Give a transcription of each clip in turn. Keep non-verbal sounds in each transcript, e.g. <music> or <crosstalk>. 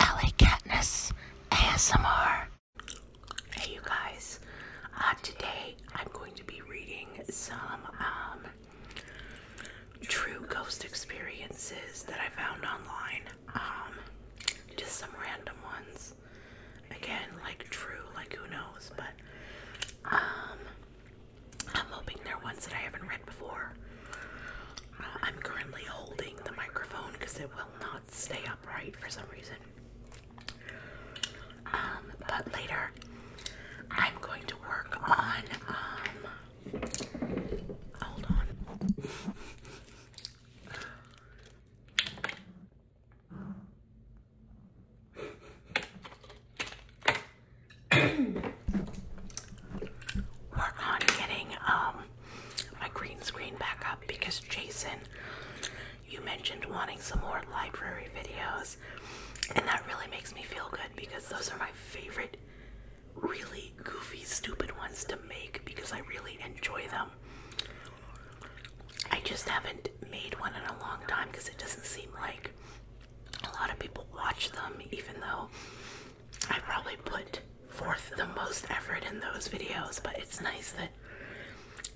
LA Katniss ASMR. Hey you guys, uh, today I'm going to be reading some um, true ghost experiences that I found online. Um, just some random ones. Again, like true, like who knows, but um, I'm hoping they're ones that I haven't read before. I'm currently holding the microphone because it will not stay upright for some reason. Um, but later, I'm going to work on. Um, hold on. <coughs> Work on getting um my green screen backup because Jason, you mentioned wanting some more library videos, and that really makes me feel good because those are my favorite, really goofy, stupid ones to make because I really enjoy them. I just haven't made one in a long time because it doesn't seem like a lot of people watch them, even though I probably put forth the most effort in those videos, but it's nice that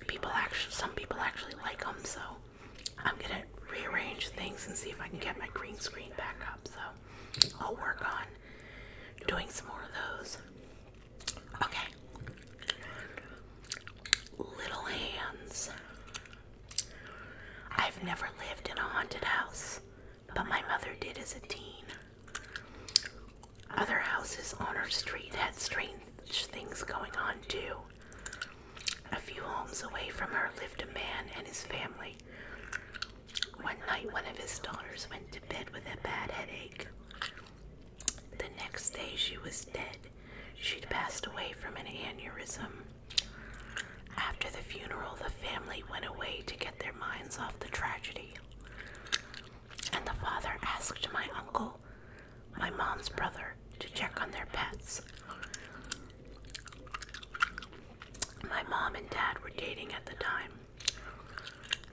people actually, some people actually like them, so I'm gonna rearrange things and see if I can get my green screen back up, so I'll work on doing some more of those. Okay. Little hands. I've never lived in a haunted house but my mother did as a teen. Other houses on our street had strange things going on too. A few homes away from her lived a man and his family. One night, one of his daughters went to bed with a bad headache. The next day, she was dead. She'd passed away from an aneurysm. After the funeral, the family went away to get their minds off the tragedy. And the father asked my uncle, my mom's brother, to check on their pets. My mom and dad were dating at the time.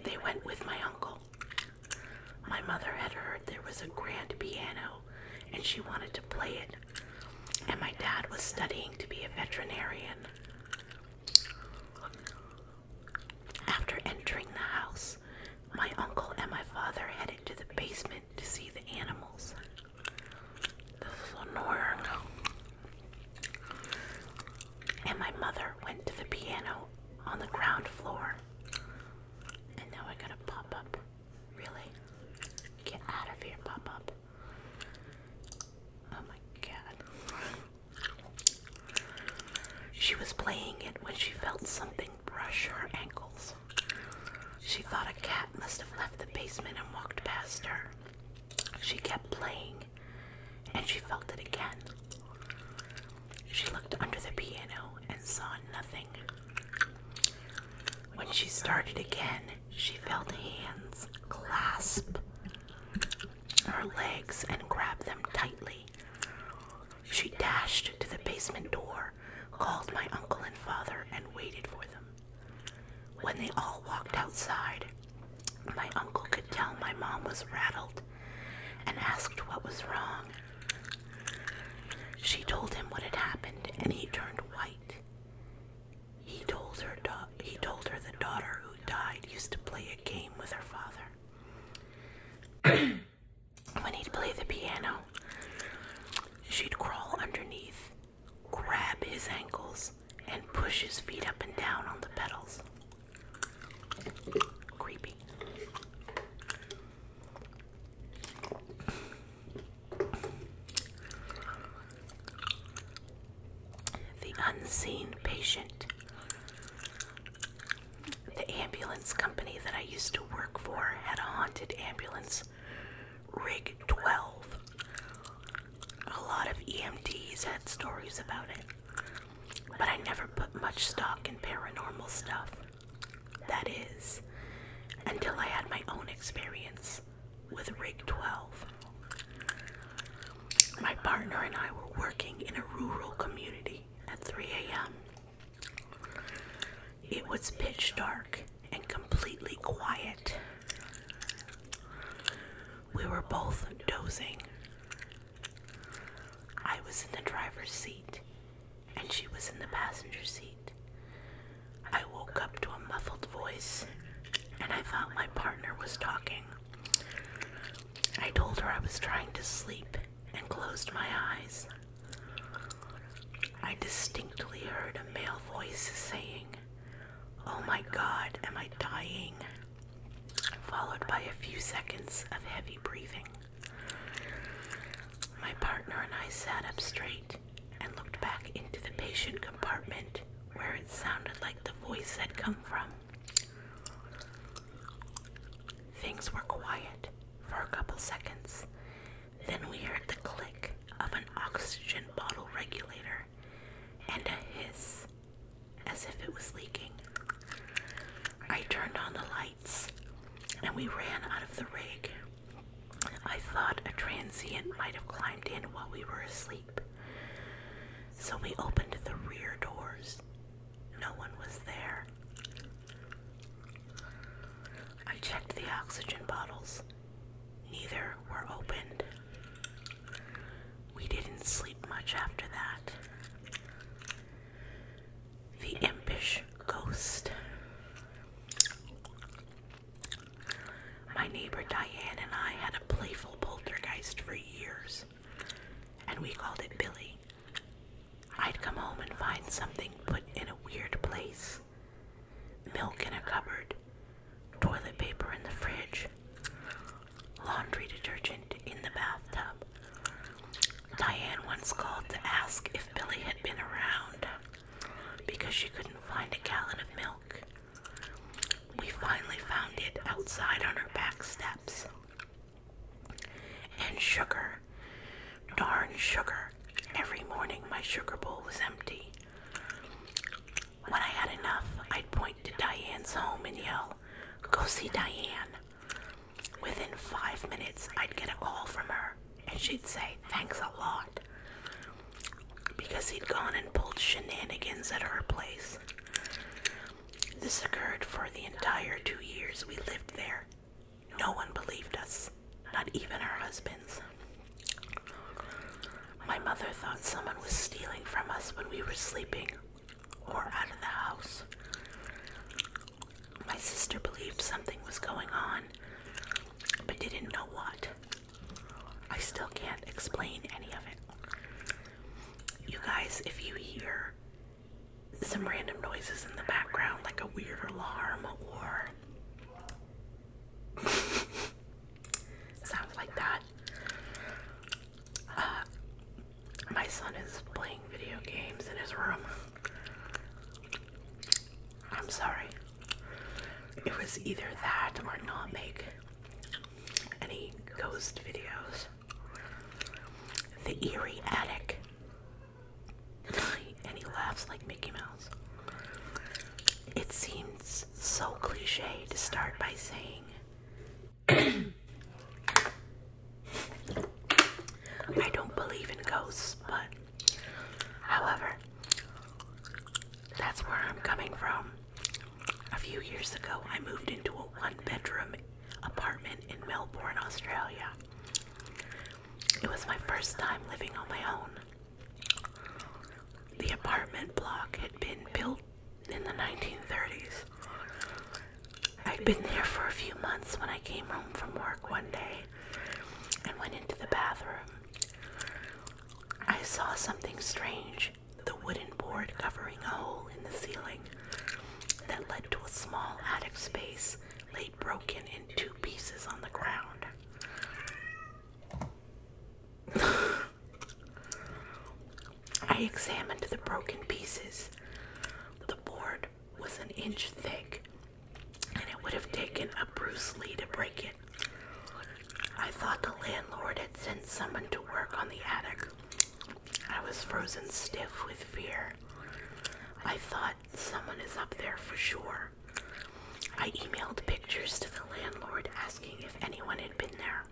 They went with my uncle. My mother had heard there was a grand piano and she wanted to play it, and my dad was studying to be a veterinarian. After entering the house, my uncle and my father headed to the basement to see the animals. This is annoying. And my mother went to the piano on the ground floor. And now I gotta pop up. Really? Get out of here, pop up. Oh my god. She was playing it when she felt something brush her ankles. She thought a cat must have left the basement and walked past her. She kept playing, and she felt it again. She looked under the piano and saw nothing. When she started again, she felt hands clasp her legs and grabbed them tightly. She dashed to the basement door, called my uncle and father, and waited for them. When they all walked outside, my uncle could tell my mom was rattled and asked what was wrong. She told him what had happened, and he turned white. He told her he told her the daughter who died used to play a game with her father. <clears throat> when he'd play the piano, she'd crawl underneath, grab his ankles, and push his feet up and down on the pedals. Creepy. The unseen patient. The ambulance company that I used to work for had a haunted ambulance, Rig 12. A lot of EMTs had stories about it, but I never put much stock in paranormal stuff. That is, until I had my own experience with Rig 12. My partner and I were working in a rural community at 3 a.m. It was pitch dark and completely quiet. We were both dozing. I was in the driver's seat and she was in the passenger seat. I woke up to a muffled voice and I thought my partner was talking. I told her I was trying to sleep and closed my eyes. I distinctly heard a male voice saying, Oh my god, am I dying? Followed by a few seconds of heavy breathing. My partner and I sat up straight and looked back into the patient compartment where it sounded like the voice had come from. Things were quiet for a couple seconds. Then we heard the click of an oxygen bottle regulator and a hiss as if it was leaking. I turned on the lights and we ran out of the rig. I thought a transient might have climbed in while we were asleep. So we opened the rear doors. No one was there. I checked the oxygen bottles. Neither were opened. We didn't sleep much after that. The impish ghost. My neighbor Diane and I had a playful poltergeist for years, and we called it Billy. I'd come home and find something put in a weird place milk in a cupboard, toilet paper in the fridge, laundry detergent in the bathtub. Diane once called to ask if Billy had been around because she couldn't find a gallon of milk. We finally found it outside on her back steps. And sugar. Darn sugar. Every morning my sugar bowl was empty. When I had enough, I'd point to Diane's home and yell, Go see Diane. Within five minutes, I'd get a call from her, and she'd say, Thanks a lot because he'd gone and pulled shenanigans at our place. This occurred for the entire two years we lived there. No one believed us, not even our husbands. My mother thought someone was stealing from us when we were sleeping or out of the house. My sister believed something was going on, but didn't know what. I still can't explain any of it. You guys, if you hear some random noises in the background, like a weird alarm or <laughs> sounds like that, uh, my son is playing video games in his room. I'm sorry. It was either that or not make any ghost videos. The eerie attic. <laughs> And he laughs like Mickey Mouse. It seems so cliche to start by saying, <clears throat> I don't believe in ghosts, but however, that's where I'm coming from. A few years ago, I moved into a one bedroom apartment in Melbourne, Australia. It was my first time living on my own. The apartment block had been built in the 1930s. I'd been there for a few months when I came home from work one day and went into the bathroom. I saw something strange the wooden board covering a hole in the ceiling that led to a small attic space laid broken in two pieces on the ground. I examined the broken pieces. The board was an inch thick, and it would have taken a Bruce Lee to break it. I thought the landlord had sent someone to work on the attic. I was frozen stiff with fear. I thought someone is up there for sure. I emailed pictures to the landlord asking if anyone had been there,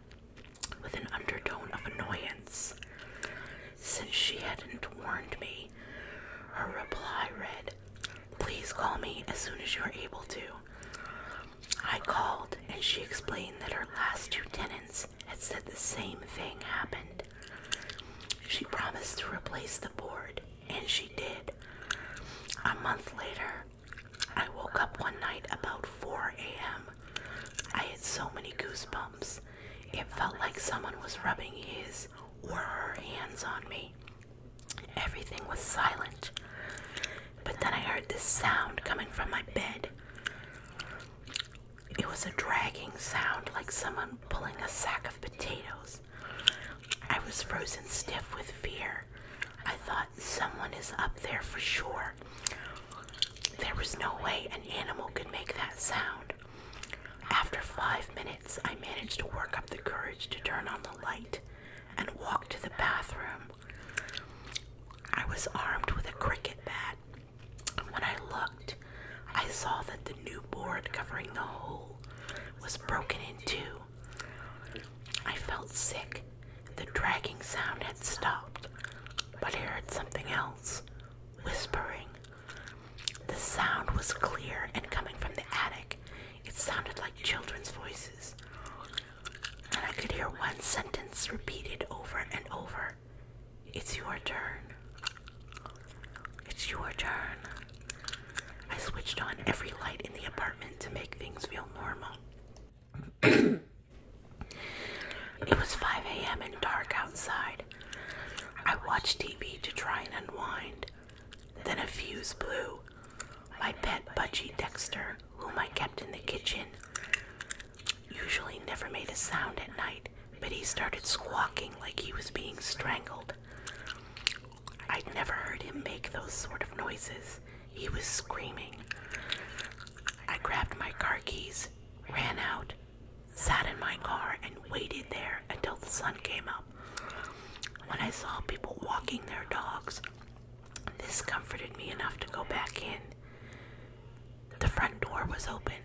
with an undertone of annoyance. Since she hadn't warned me, her reply read, Please call me as soon as you're able to. I called and she explained that her last two tenants had said the same thing happened. She promised to replace the board, and she did. A month later, I woke up one night about 4 a.m. I had so many goosebumps. It felt like someone was rubbing his or her hands on me. Everything was silent. But then I heard this sound coming from my bed. It was a dragging sound like someone pulling a sack of potatoes. I was frozen stiff with fear. I thought someone is up there for sure. There was no way an animal could make that sound. After five minutes, I managed to work up the courage to turn on the light and walked to the bathroom. I was armed with a cricket bat. When I looked, I saw that the new board covering the hole was broken in two. I felt sick. The dragging sound had stopped, but I heard something else whispering. The sound was clear and coming from the attic it sounded like children's voices, and I could hear one sentence repeated over and over It's your turn. It's your turn. I switched on every light in the apartment to make things feel normal. <clears throat> it was 5 a.m. and dark outside. I watched TV to try and unwind. Then a fuse blew my pet Budgie Dexter, whom I kept in the kitchen, usually never made a sound at night, but he started squawking like he was being strangled. I'd never heard him make those sort of noises. He was screaming. I grabbed my car keys, ran out, sat in my car, and waited there until the sun came up. When I saw people walking their dogs, this comforted me enough to go back in. The front door was open,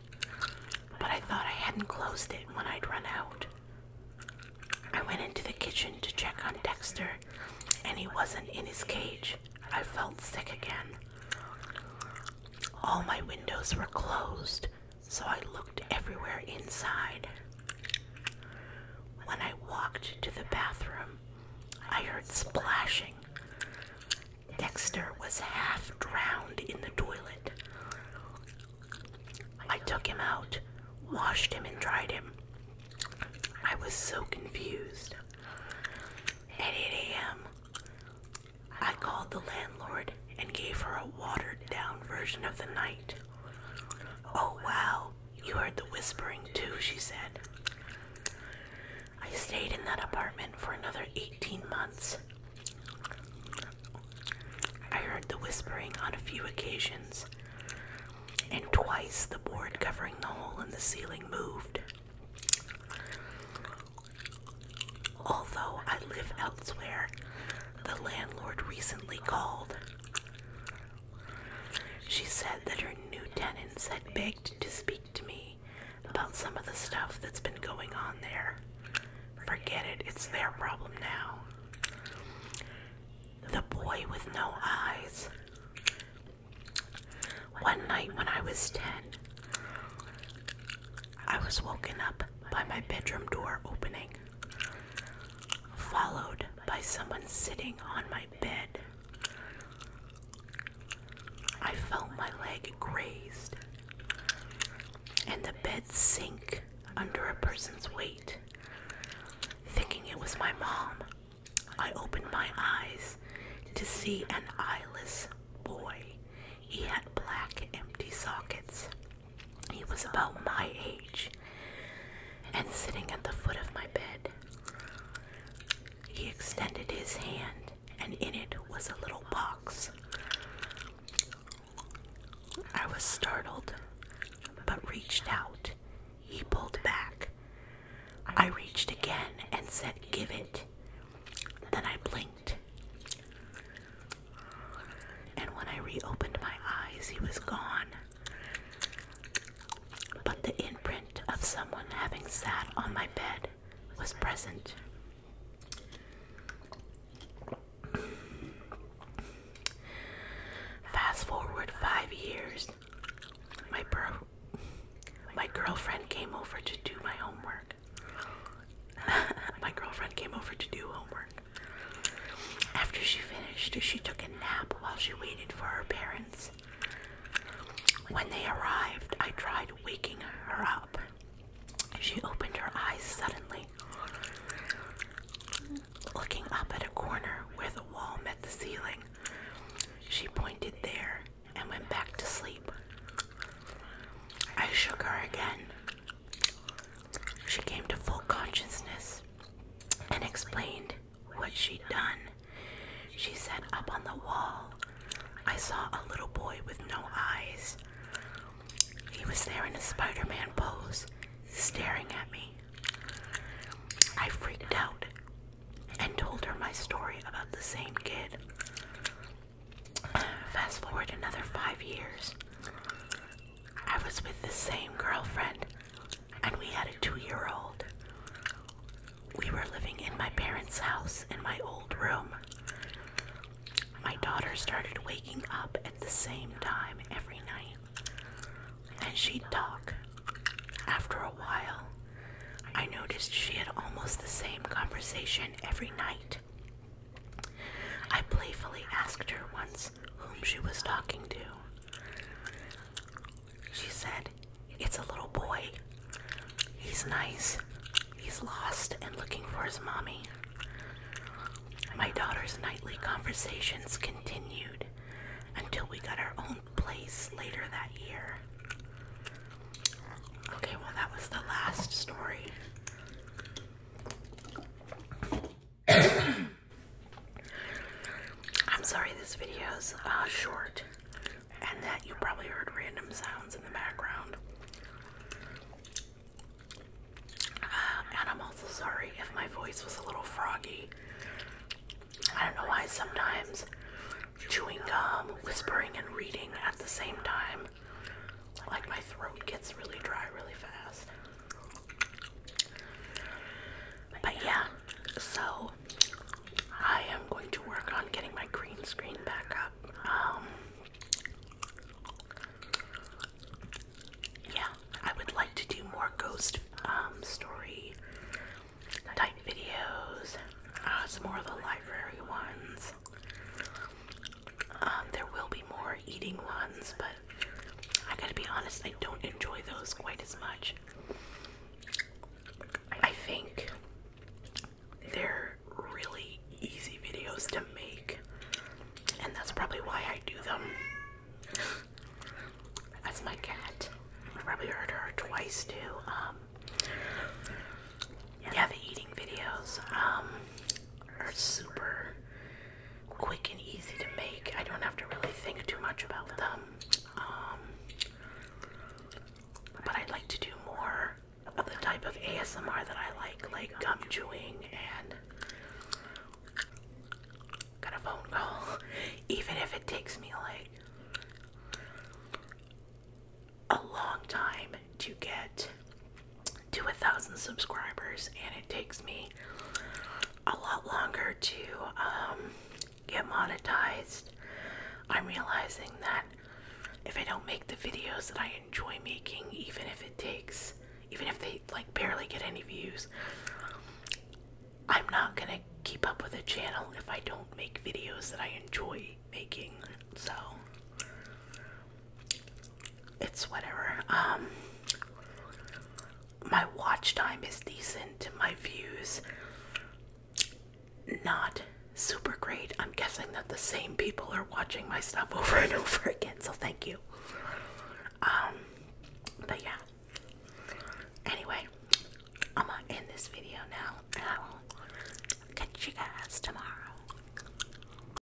but I thought I hadn't closed it when I'd run out. I went into the kitchen to check on Dexter, and he wasn't in his cage. I felt sick again. All my windows were closed, so I looked everywhere inside. When I walked to the bathroom, I heard splashing. Dexter was half drowned in the toilet. I took him out, washed him, and dried him. I was so confused. At 8 a.m., I called the landlord and gave her a watered down version of the night. Oh wow, you heard the whispering too, she said. I stayed in that apartment for another 18 months. I heard the whispering on a few occasions, and twice the board covering the hole in the ceiling moved. Although I live elsewhere, the landlord recently called she said that her new tenants had begged to speak to me about some of the stuff that's been going on there. Forget it, it's their problem now. The boy with no eyes. One night when I was 10, I was woken up by my bedroom door opening followed by someone sitting on my bed. I felt my leg grazed and the bed sink under a person's weight. Thinking it was my mom, I opened my eyes to see an eyeless boy. He had black empty sockets. He was about my age and sitting at the foot of my bed. He extended his hand, and in it was a little box. I was startled, but reached out. He pulled back. I reached again and said, Give it. Then I blinked. And when I reopened my eyes, he was gone. But the imprint of someone having sat on my bed was present. Fast forward five years, my, my girlfriend came over to do my homework. <laughs> my girlfriend came over to do homework. After she finished, she took a nap while she waited for her parents. When they arrived, I tried waking her up. She opened her eyes suddenly, looking up at a corner where the wall met the ceiling. She pointed there and went back to sleep. I shook her again, she came to full consciousness and explained what she'd done. She said, Up on the wall, I saw a little boy with no eyes. He was there in a Spider Man pose, staring at me. I freaked out and told her my story about the same kid. Fast forward another five years. I was with the same girlfriend, and we had a two year old. We were living in my parents' house in my old room. My daughter started waking up at the same time every night, and she'd talk. After a while, I noticed she had almost the same conversation every night. I playfully asked her once whom she was talking to. She said, It's a little boy. He's nice. He's lost and looking for his mommy. My daughter's nightly conversations continued until we got our own place later that year. Okay, well, that was the last story. I'm sorry this video is uh, short and that you probably heard random sounds in the background. Uh, and I'm also sorry if my voice was a little froggy. I don't know why sometimes chewing gum, whispering, and reading at the same time like my throat gets really dry really fast. But yeah, so I am going to work on getting my green screen back up. Um, yeah, I would like to do more ghost um, story type videos, uh, some more of the library ones. Um, there will be more eating ones, but I gotta be honest, I don't enjoy those quite as much. I think they're really easy videos to make, and that's probably why I do them. That's my cat. I probably hurt her twice too. Um, yeah, the eating videos um, are super quick and easy to make. I don't have to really think too much about them. Um, but I'd like to do more of the type of ASMR that I like, like gum chewing and got a phone call, <laughs> even if it takes me like a long time to get to a thousand subscribers, and it takes me a lot longer to um, get monetized. I'm realizing that if I don't make the videos that I enjoy making, even if it takes, even if they like barely get any views, I'm not gonna keep up with the channel if I don't make videos that I enjoy making. So, it's whatever. Um, my watch time is decent. My views, not super great. I'm guessing that the same people are watching my stuff <laughs> over and over again. So thank you. Um, but yeah. Anyway, I'm gonna end this video now, and I will catch you guys tomorrow.